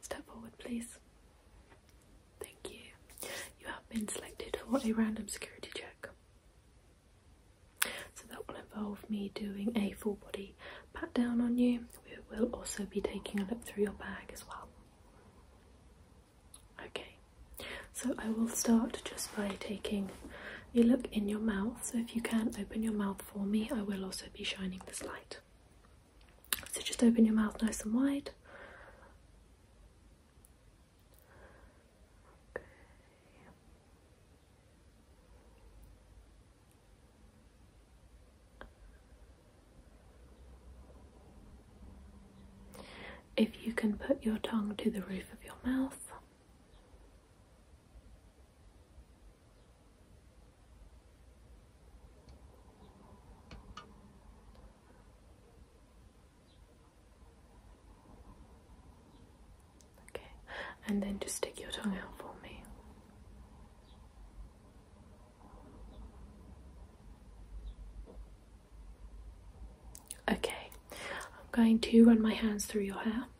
Step forward, please. Thank you. You have been selected for a random security check. So that will involve me doing a full body pat down on you. We will also be taking a look through your bag as well. Okay, so I will start just by taking you look in your mouth, so if you can open your mouth for me, I will also be shining this light. So just open your mouth nice and wide. If you can put your tongue to the roof of your mouth, Okay, and then just stick your tongue out for me. Okay, I'm going to run my hands through your hair.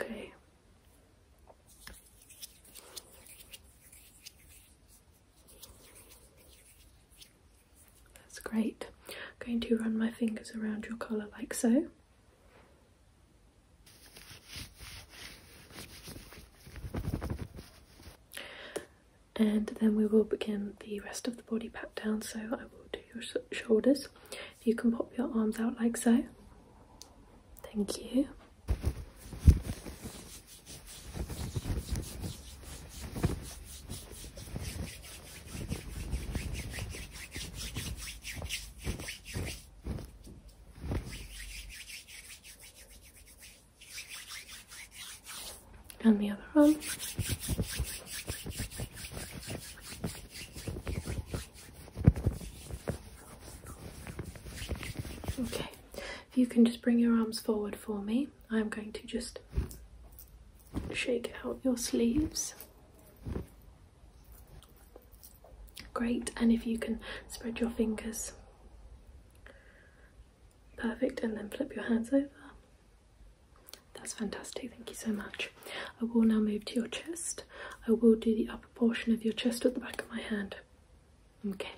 Okay. That's great. going to run my fingers around your collar like so. And then we will begin the rest of the body pat down, so I will do your shoulders. you can pop your arms out like so. Thank you and the other arm. Okay, if you can just bring your arms forward for me, I'm going to just shake out your sleeves. Great, and if you can spread your fingers. Perfect, and then flip your hands over. That's fantastic, thank you so much. I will now move to your chest. I will do the upper portion of your chest with the back of my hand. Okay.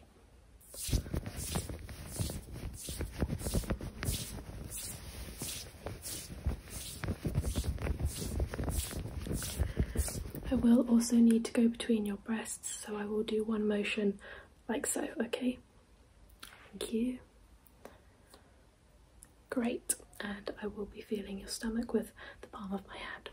I will also need to go between your breasts, so I will do one motion like so, okay? Thank you. Great, and I will be feeling your stomach with the palm of my hand.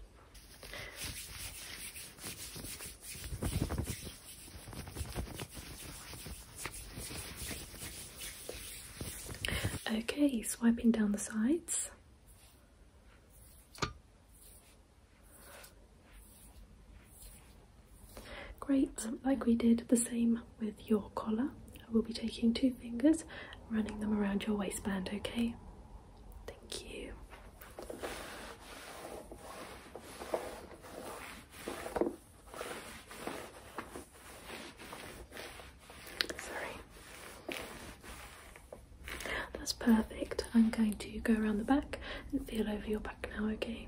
Okay, swiping down the sides. Great, like we did the same with your collar, I will be taking two fingers running them around your waistband, okay? Thank you. Sorry. That's perfect. I'm going to go around the back and feel over your back now, okay?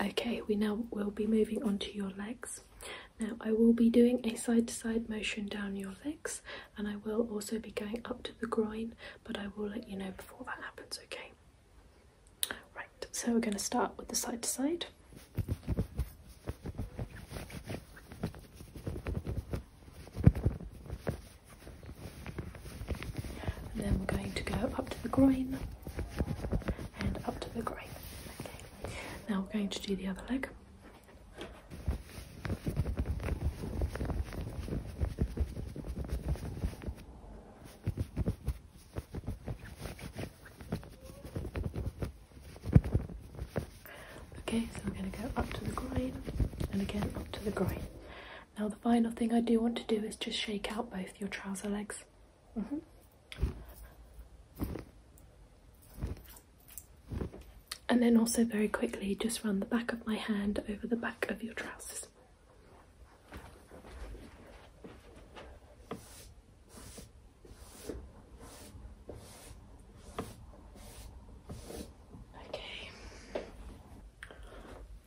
Okay, we now will be moving on to your legs. Now, I will be doing a side to side motion down your legs, and I will also be going up to the groin, but I will let you know before that happens, okay? Right, so we're going to start with the side to side. And then we're going to go up to the groin and up to the groin. Now we're going to do the other leg. Okay, so we're going to go up to the groin and again up to the groin. Now the final thing I do want to do is just shake out both your trouser legs. Mm-hmm. And then also very quickly just run the back of my hand over the back of your trousers. Okay.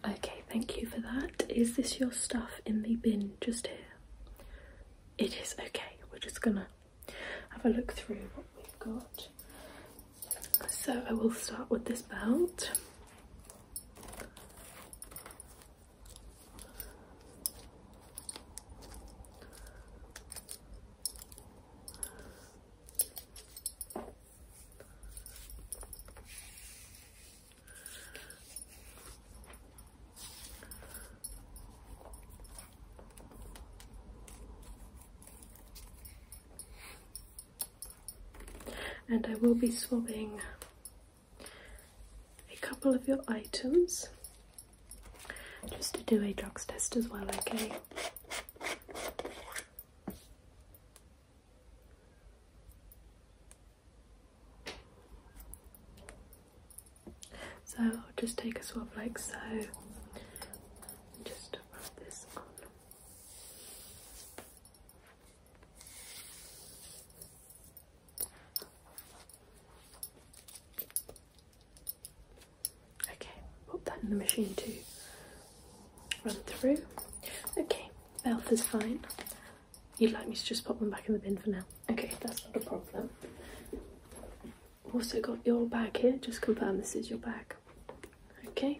Okay, thank you for that. Is this your stuff in the bin just here? It is, okay. We're just gonna have a look through what we've got. So I will start with this belt. And I will be swabbing a couple of your items just to do a drug test as well, okay? So I'll just take a swab like so, just rub this on. Okay, pop that in the machine to run through. Okay, mouth is fine. You'd like me to just pop them back in the bin for now? Okay, that's not a problem. Also got your bag here, just confirm this is your bag. Okay.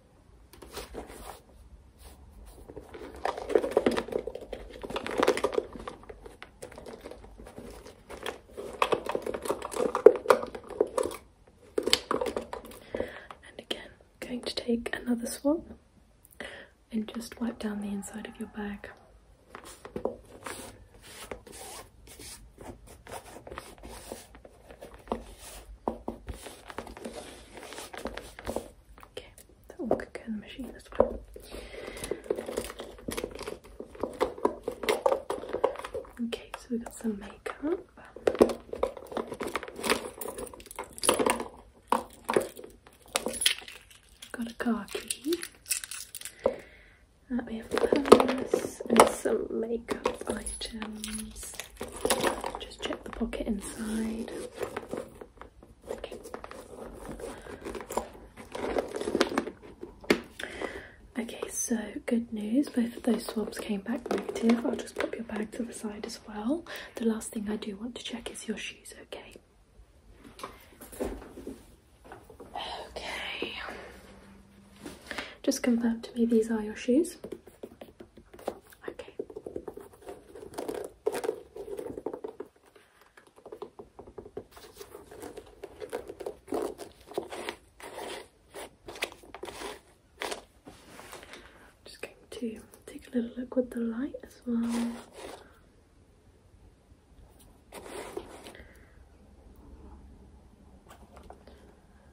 And again, I'm going to take another swab and just wipe down the inside of your bag. Okay, that one could go machine as well. Okay, so we've got some makeup. Got a car key. Uh, we have purse and some makeup items. Just check the pocket inside. Okay. so good news, both of those swabs came back negative. I'll just pop your bag to the side as well. The last thing I do want to check is your shoes, okay? Okay. Just confirm to me these are your shoes. Okay. just going to take a little look with the light as well.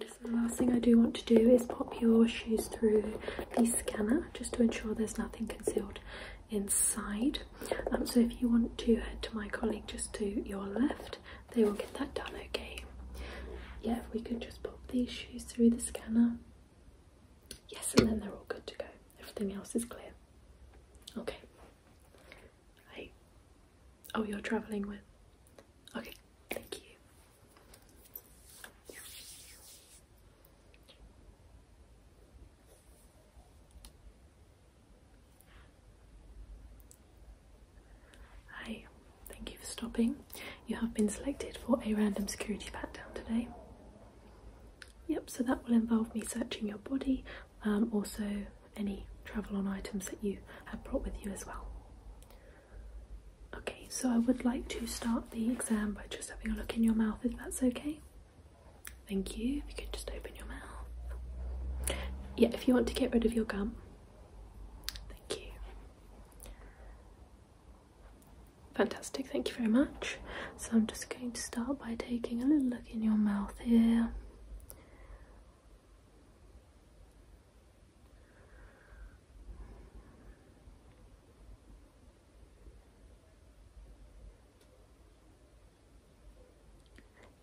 Just the last thing I do want to do is pop your shoes through the scanner just to ensure there's nothing concealed inside. Um, so if you want to head to my colleague just to your left, they will get that done, okay? Yeah, if we could just pop these shoes through the scanner. Yes, and then they're all good to go. Everything else is clear. Okay, Hey. Oh, you're travelling with. Okay, thank you. Hi, thank you for stopping. You have been selected for a random security pat down today. Yep, so that will involve me searching your body, um, also any travel on items that you have brought with you as well. Okay, so I would like to start the exam by just having a look in your mouth if that's okay. Thank you. If you could just open your mouth. Yeah, if you want to get rid of your gum. Thank you. Fantastic, thank you very much. So I'm just going to start by taking a little look in your mouth here.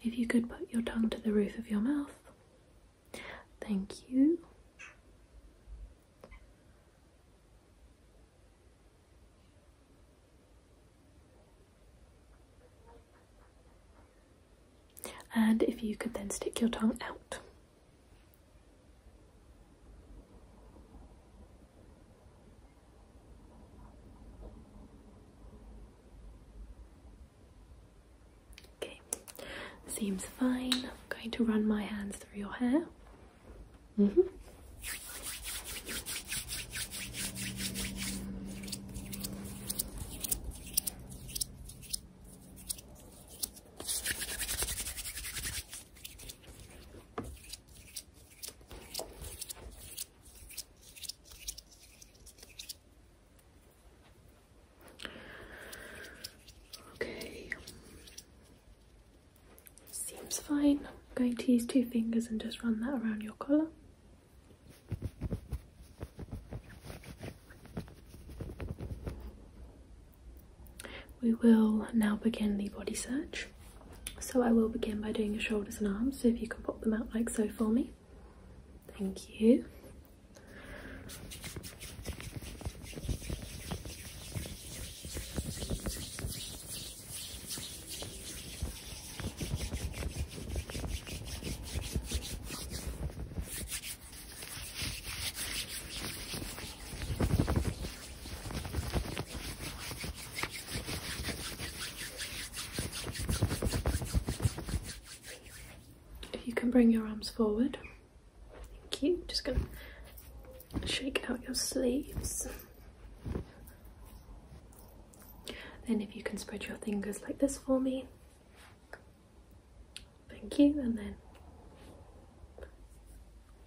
If you could put your tongue to the roof of your mouth. Thank you. And if you could then stick your tongue out. Okay, seems fine. I'm going to run my hands through your hair. -hmm. Okay. Seems fine. I'm going to use two fingers and just run that around your collar. We will now begin the body search. So I will begin by doing your shoulders and arms, so if you can pop them out like so for me. Thank you. If you can bring your arms forward, thank you. Just gonna shake out your sleeves. Then if you can spread your fingers like this for me. Thank you, and then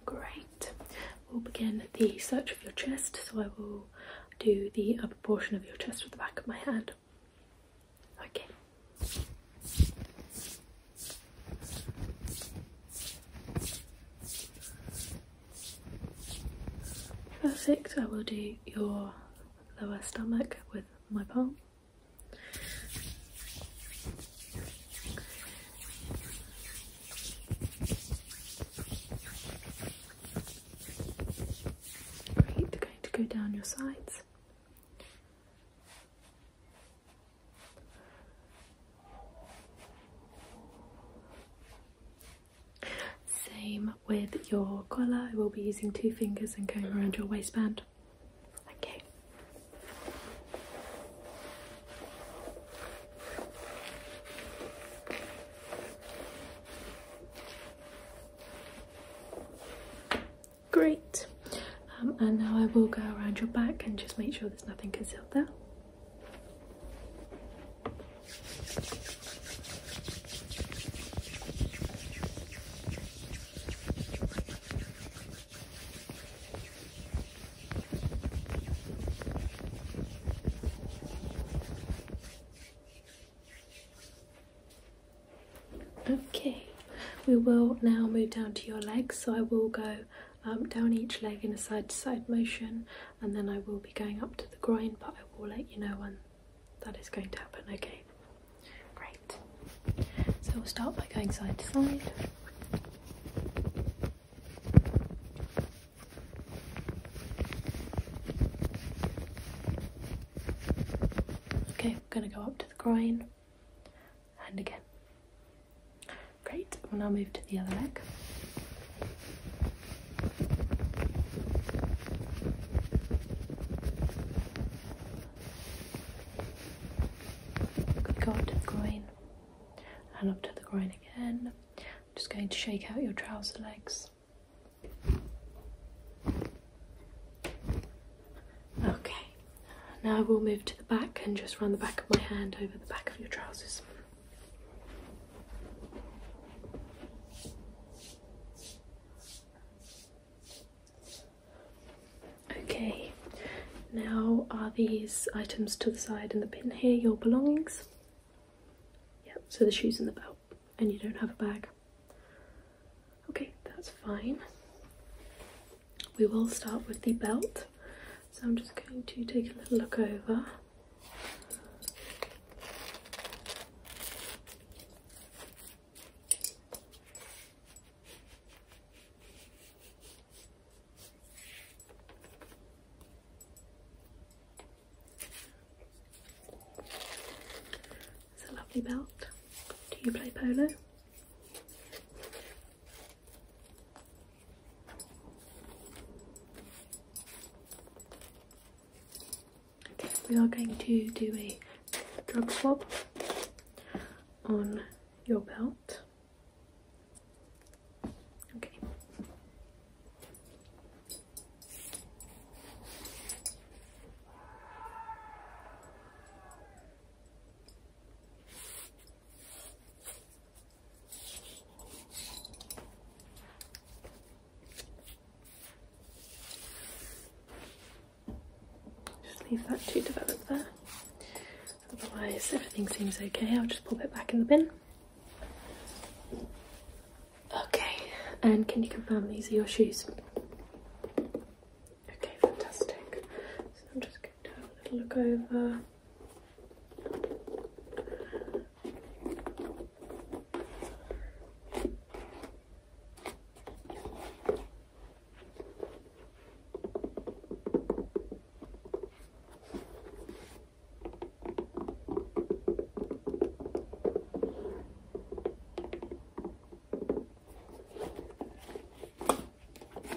great. We'll begin the search of your chest, so I will do the upper portion of your chest with the back of my hand. Okay. Perfect, I will do your lower stomach with my palm. Great, going to go down your sides. Same with your collar, I will be using two fingers and going around your waistband. Okay. Great. Um, and now I will go around your back and just make sure there's nothing concealed there. Okay, we will now move down to your legs. So I will go um, down each leg in a side to side motion, and then I will be going up to the groin, but I will let you know when that is going to happen. Okay, great. So we'll start by going side to side. Okay, we're going to go up to the groin and again. Great, we'll now move to the other leg. up to the groin and up to the groin again. just going to shake out your trouser legs. Okay, now we'll move to the back and just run the back of my hand over the back of your trousers. Okay, now are these items to the side in the bin here your belongings? Yep, so the shoes and the belt, and you don't have a bag. Okay, that's fine we will start with the belt. So I'm just going to take a little look over. It's a lovely belt. Do you play polo? Okay, we are going to do a drug swap on your belt. Okay. Just leave that to develop there. Otherwise, everything seems okay. I'll just pop it back in the bin. Okay, and can you confirm these are your shoes? Okay, fantastic. So I'm just have a little look over.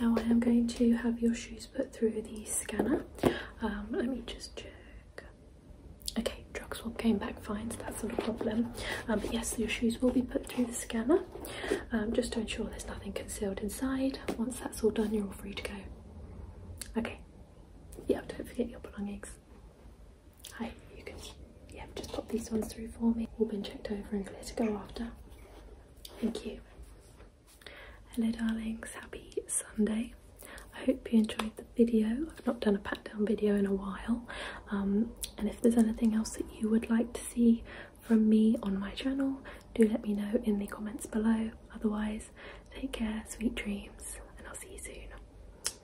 Now I am going to have your shoes put through the scanner. Um, let me just check. Okay, drug swab came back fine, so that's not a problem. Um, but yes, your shoes will be put through the scanner, um, just to ensure there's nothing concealed inside. Once that's all done, you're all free to go. Okay. Yeah, don't forget your belongings. Hi, you can yeah, just pop these ones through for me. All been checked over and clear to go after. Thank you. Hello darlings, happy Sunday. I hope you enjoyed the video. I've not done a pat down video in a while. Um, and if there's anything else that you would like to see from me on my channel, do let me know in the comments below. Otherwise, take care, sweet dreams, and I'll see you soon.